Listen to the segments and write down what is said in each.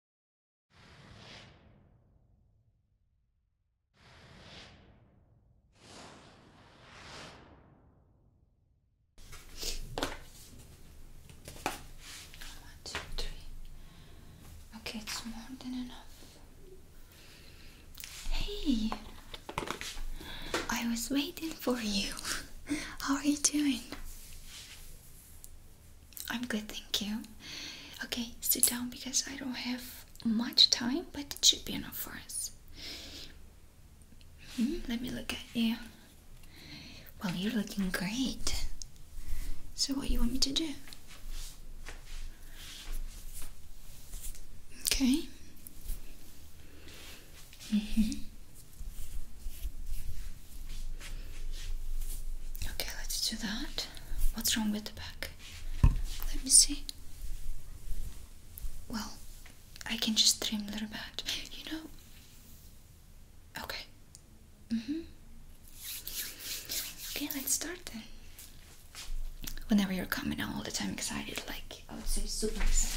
One, two, three. Okay, it's more than enough. Hey, I was waiting for you. How are you doing? I'm good, thank you. Okay, sit down because I don't have much time, but it should be enough for us. Hmm, let me look at you. Well, you're looking great. So, what you want me to do? Okay. Mhm. Okay, let's do that. What's wrong with the back? Let me see. Well, I can just dream a little bit. You know. Okay. Mm hmm. Okay, let's start then. Whenever you're coming, out all the time excited. Like I would say, super excited.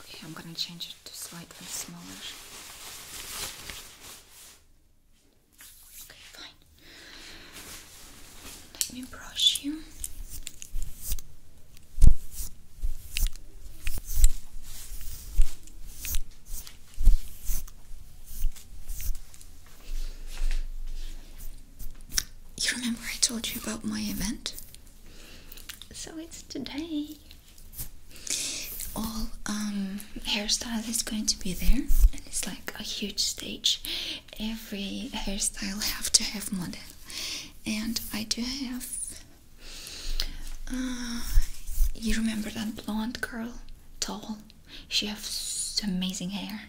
Okay, I'm gonna change it to slightly smaller. Okay, fine. Let me brush you. You remember I told you about my event? So it's today. All um, hairstyle is going to be there, and it's like a huge stage. Every hairstyle have to have model, and I do have. Uh, you remember that blonde girl, tall? She have amazing hair.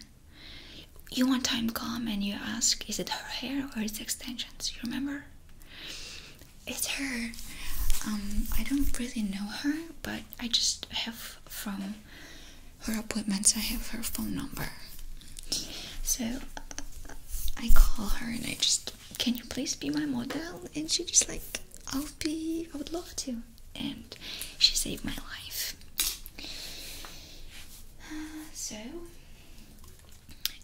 You want time come and you ask, is it her hair or its extensions? You remember? It's her. Um, I don't really know her, but I just have from her appointments. I have her phone number, so I call her and I just, can you please be my model? And she just like, I'll be, I would love to, and she saved my life so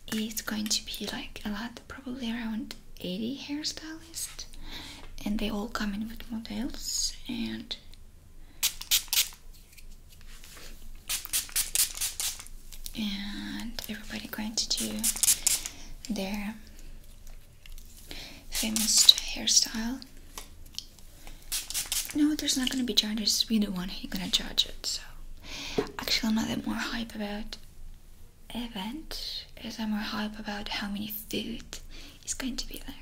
it's going to be like a lot probably around 80 hairstylists and they all come in with models and and everybody going to do their famous hairstyle no, there's not gonna be charges. We don't want You're gonna charge it. So, actually, I'm not that more hype about event. Is I'm more hype about how many food is going to be there.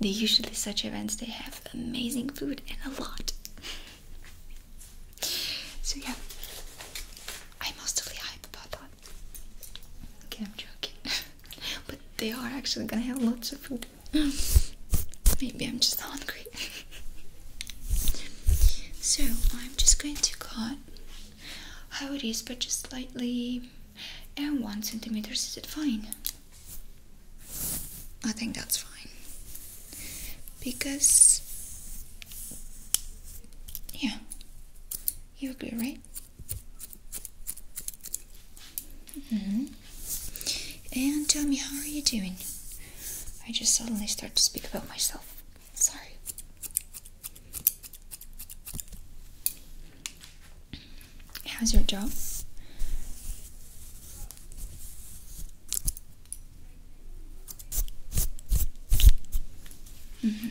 They usually such events. They have amazing food and a lot. so yeah, I'm mostly hype about that. Okay, I'm joking. but they are actually gonna have lots of food. Maybe I'm just hungry. so I'm just going to cut how it is, but just slightly, and one centimeters. Is it fine? I think that's fine because yeah, you agree, right? Mm-hmm. And tell me, how are you doing? I just suddenly start to speak about myself. Sorry. How's your job? Mm -hmm.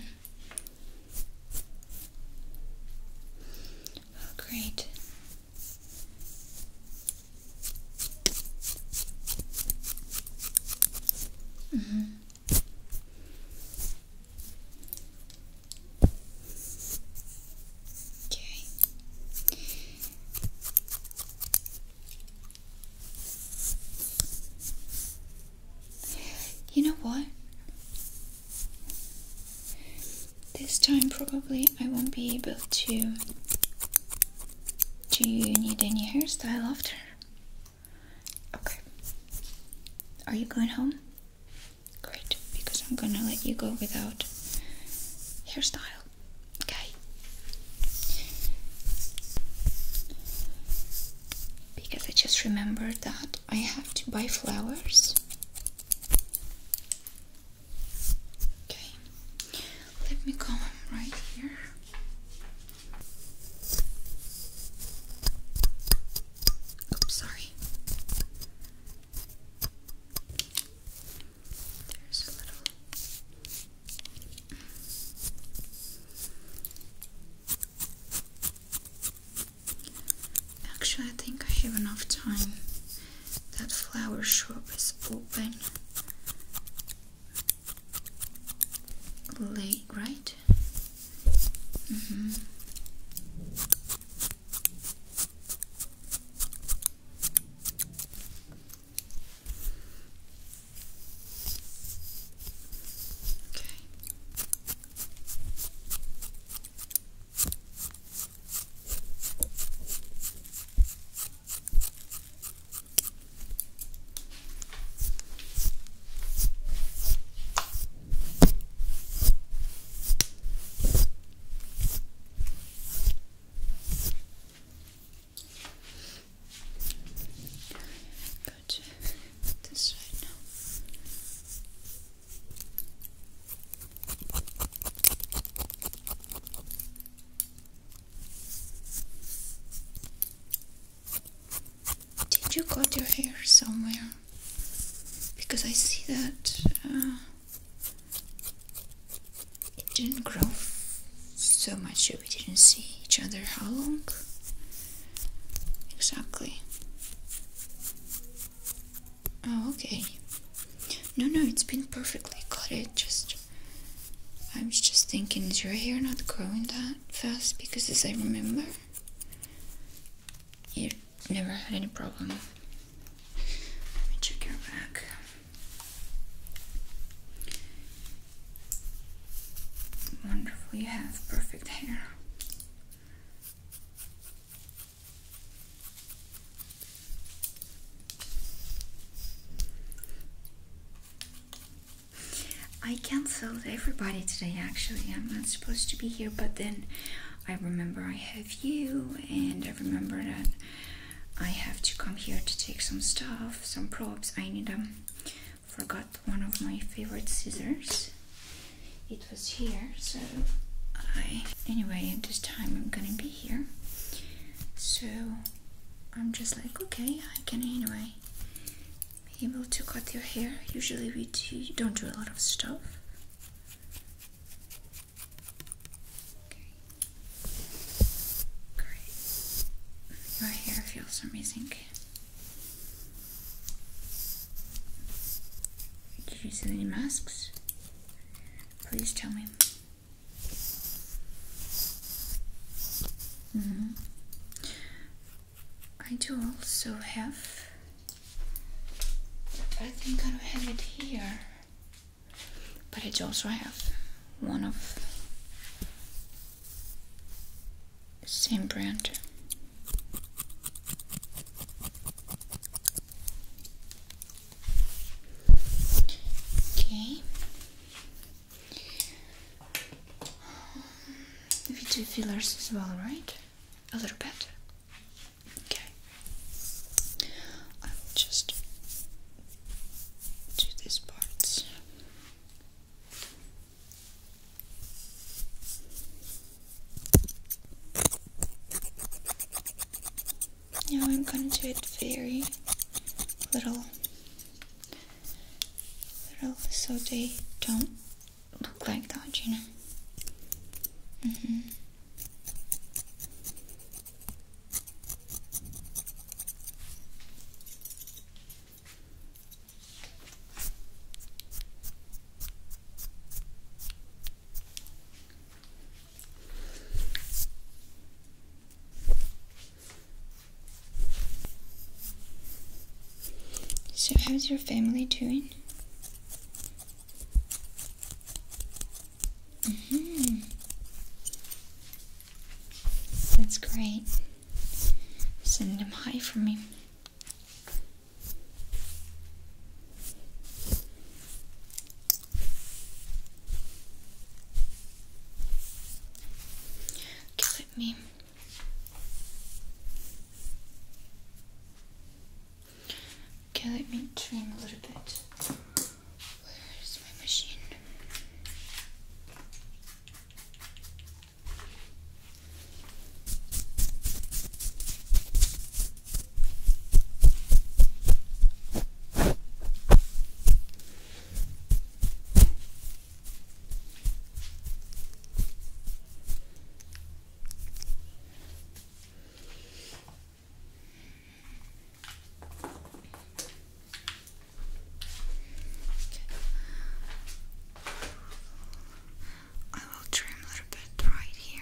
Oh, great. Mm-hmm. Okay. You know what? This time probably I won't be able to do you need any hairstyle after? Okay. Are you going home? Great, because I'm gonna let you go without hairstyle. Okay. Because I just remembered that I have to buy flowers Okay, let me come right here. Oops, sorry. There's a little. Actually, I think I have enough time that flower shop is open late, right? Mm -hmm. Okay. Go to this side now. Did you cut your hair somewhere? Because I see that uh, it didn't grow so much that we didn't see each other. How long? Exactly. Oh, okay. No, no, it's been perfectly cut. It just. I was just thinking, is your hair not growing that fast? Because as I remember, you never had any problems. Let me check your back. Wonderful, you have perfect hair. I cancelled everybody today actually. I'm not supposed to be here, but then I remember I have you, and I remember that I have to come here to take some stuff, some props. I need them. Um, forgot one of my favorite scissors. It was here, so I. Anyway, this time I'm gonna be here. So I'm just like, okay, I can anyway be able to cut your hair. Usually we do, not do a lot of stuff. Okay. Great. Your hair feels amazing. Did you use any masks? Please tell me. Mm-hmm. I do also have, I think I have it here. But I do also have one of same brand. Okay. We um, do fillers as well, right? A little bit. Okay. I will just do these parts. Now I'm going to do it very little, little, so they don't look like that, you know. Mm-hmm. So, how's your family doing? Mm-hmm. That's great. Send them high for me. Okay, let me Okay, let me trim a little bit. Where is my machine? I will trim a little bit right here.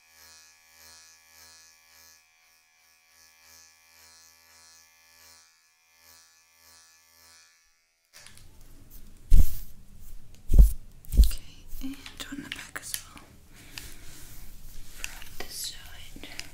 Okay, and on the back as well. From this side. Okay,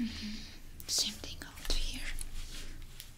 Mm-hmm. Same thing out here.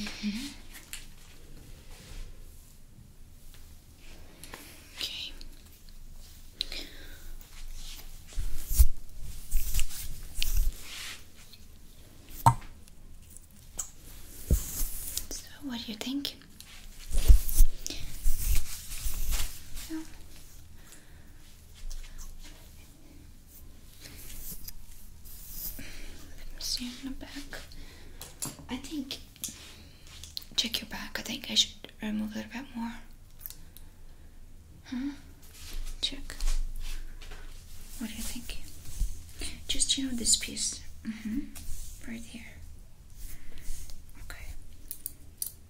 Okay. So, what do you think? Let me see on back. I think check your back. I think I should remove a little bit more. Huh? Check. What do you think? Just you know this piece. Mm-hmm. Right here. Okay.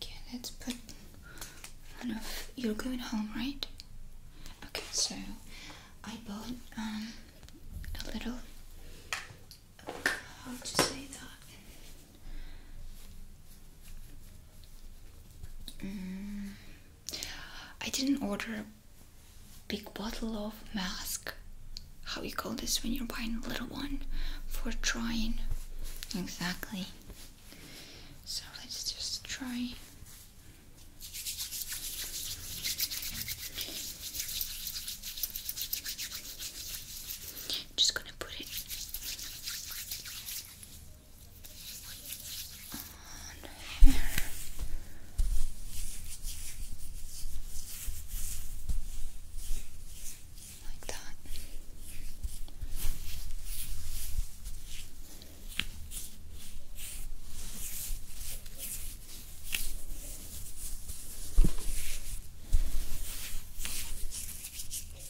Okay, let's put You're going home, right? Okay, so I bought um a little. How to say that? Mm. I didn't order a big bottle of mask. How you call this when you're buying little one for trying? Exactly. So let's just try. Just gonna put it on here. Like that. Okay.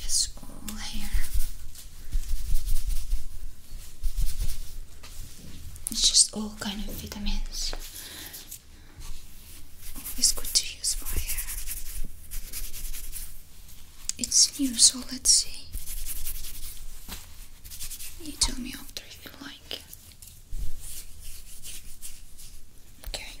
Yes, all hair. It's just all kind of vitamins. Always good to use for hair. It's new, so let's see. You tell me after if you like. Okay.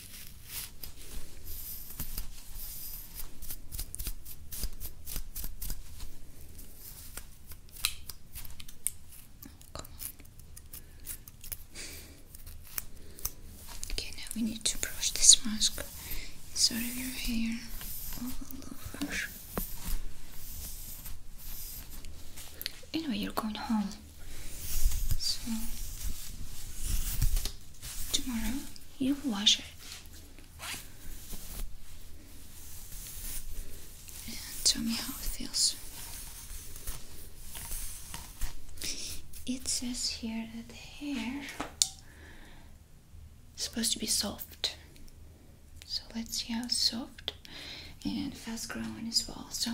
Okay, now we need to brush this mask inside of your hair Anyway, you're going home. So, tomorrow you wash it. And tell me how it feels. It says here that the hair is supposed to be soft. So let's see how soft and fast growing as well. So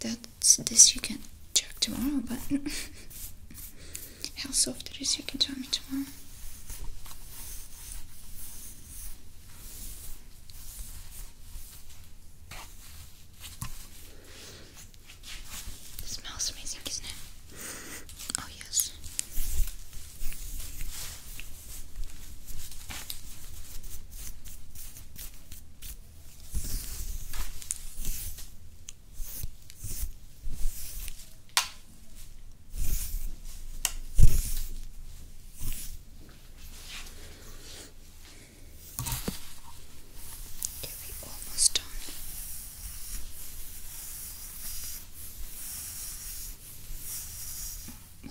that so this you can check tomorrow, but how soft it is you can tell me tomorrow. smells amazing, isn't it? Oh, yes. Okay, we're almost done.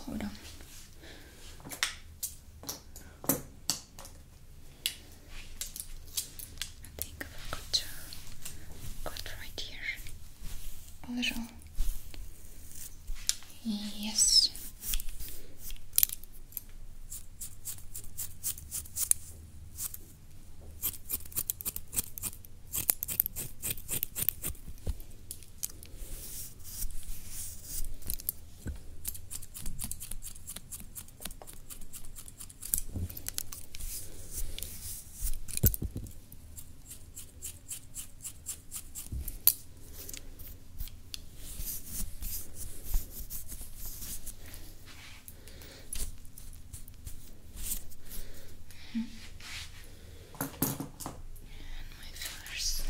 Hold on. I think I've to cut uh, right here a little. Yes. Mm -hmm. And my first.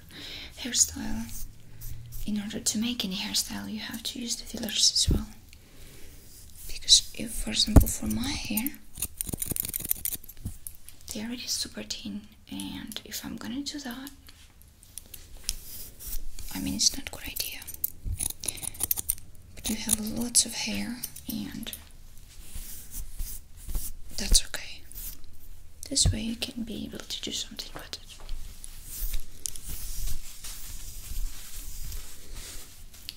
hairstyle. In order to make any hairstyle, you have to use the fillers as well. Because, for example, for my hair, they are really super thin, and if I'm gonna do that, I mean, it's not a good idea. But you have lots of hair, and that's okay. This way, you can be able to do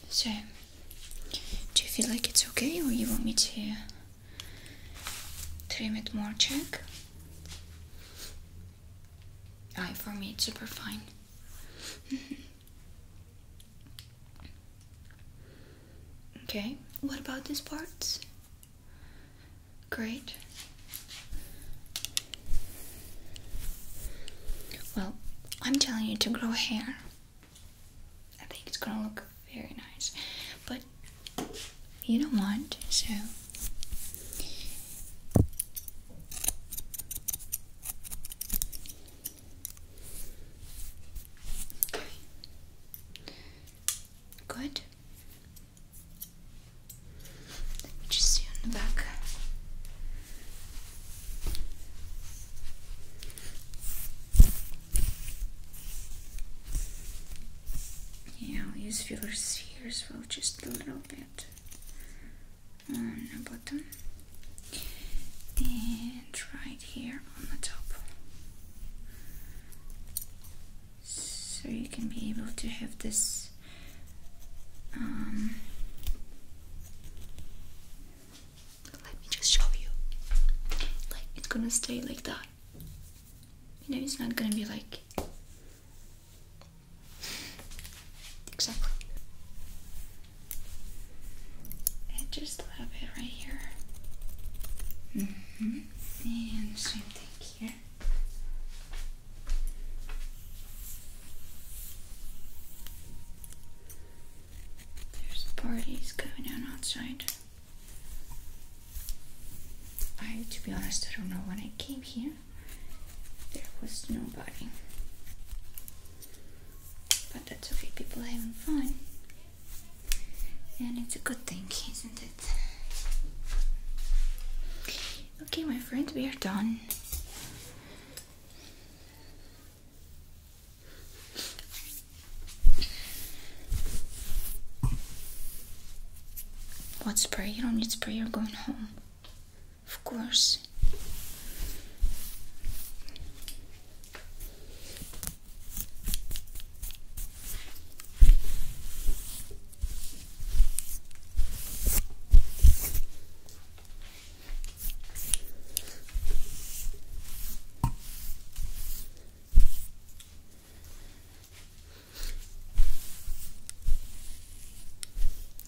so, do you feel like it's okay, or you want me to trim it more? Check. Aye, for me it's super fine. okay, what about these parts? Great. Well, I'm telling you to grow hair. I think it's gonna look very nice, but you don't want so. Good just see on the back. Yeah, use will use filler spheres well just a little bit on the bottom and right here on the top so you can be able to have this um, let me just show you like it's gonna stay like that you know it's not gonna be like exactly and just a little bit right here mm-hmm. and same here there's parties going on outside. I, to be honest, I don't know when I came here. There was nobody. But that's okay, people having fun and it's a good thing, isn't it? Okay, my friend, we are done. What spray? You don't need spray, you're going home. Of course.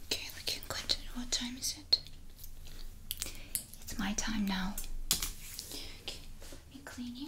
Okay, we can What time is it? It's my time now. let me clean you.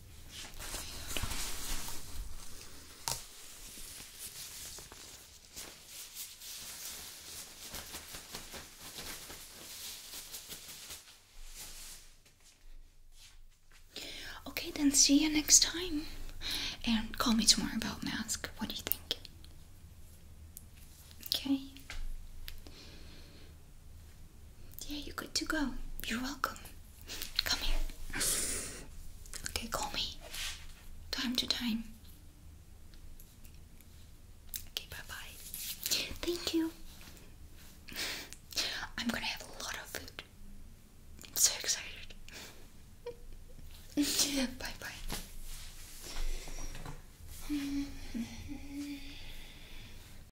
Okay, then see you next time. And call me tomorrow about mask. What do you think? Okay. Yeah, you're good to go. You're welcome. Come here. Okay, call me. Time to time. Okay, bye bye. Thank you. I'm gonna have a lot of food. I'm so excited. bye bye.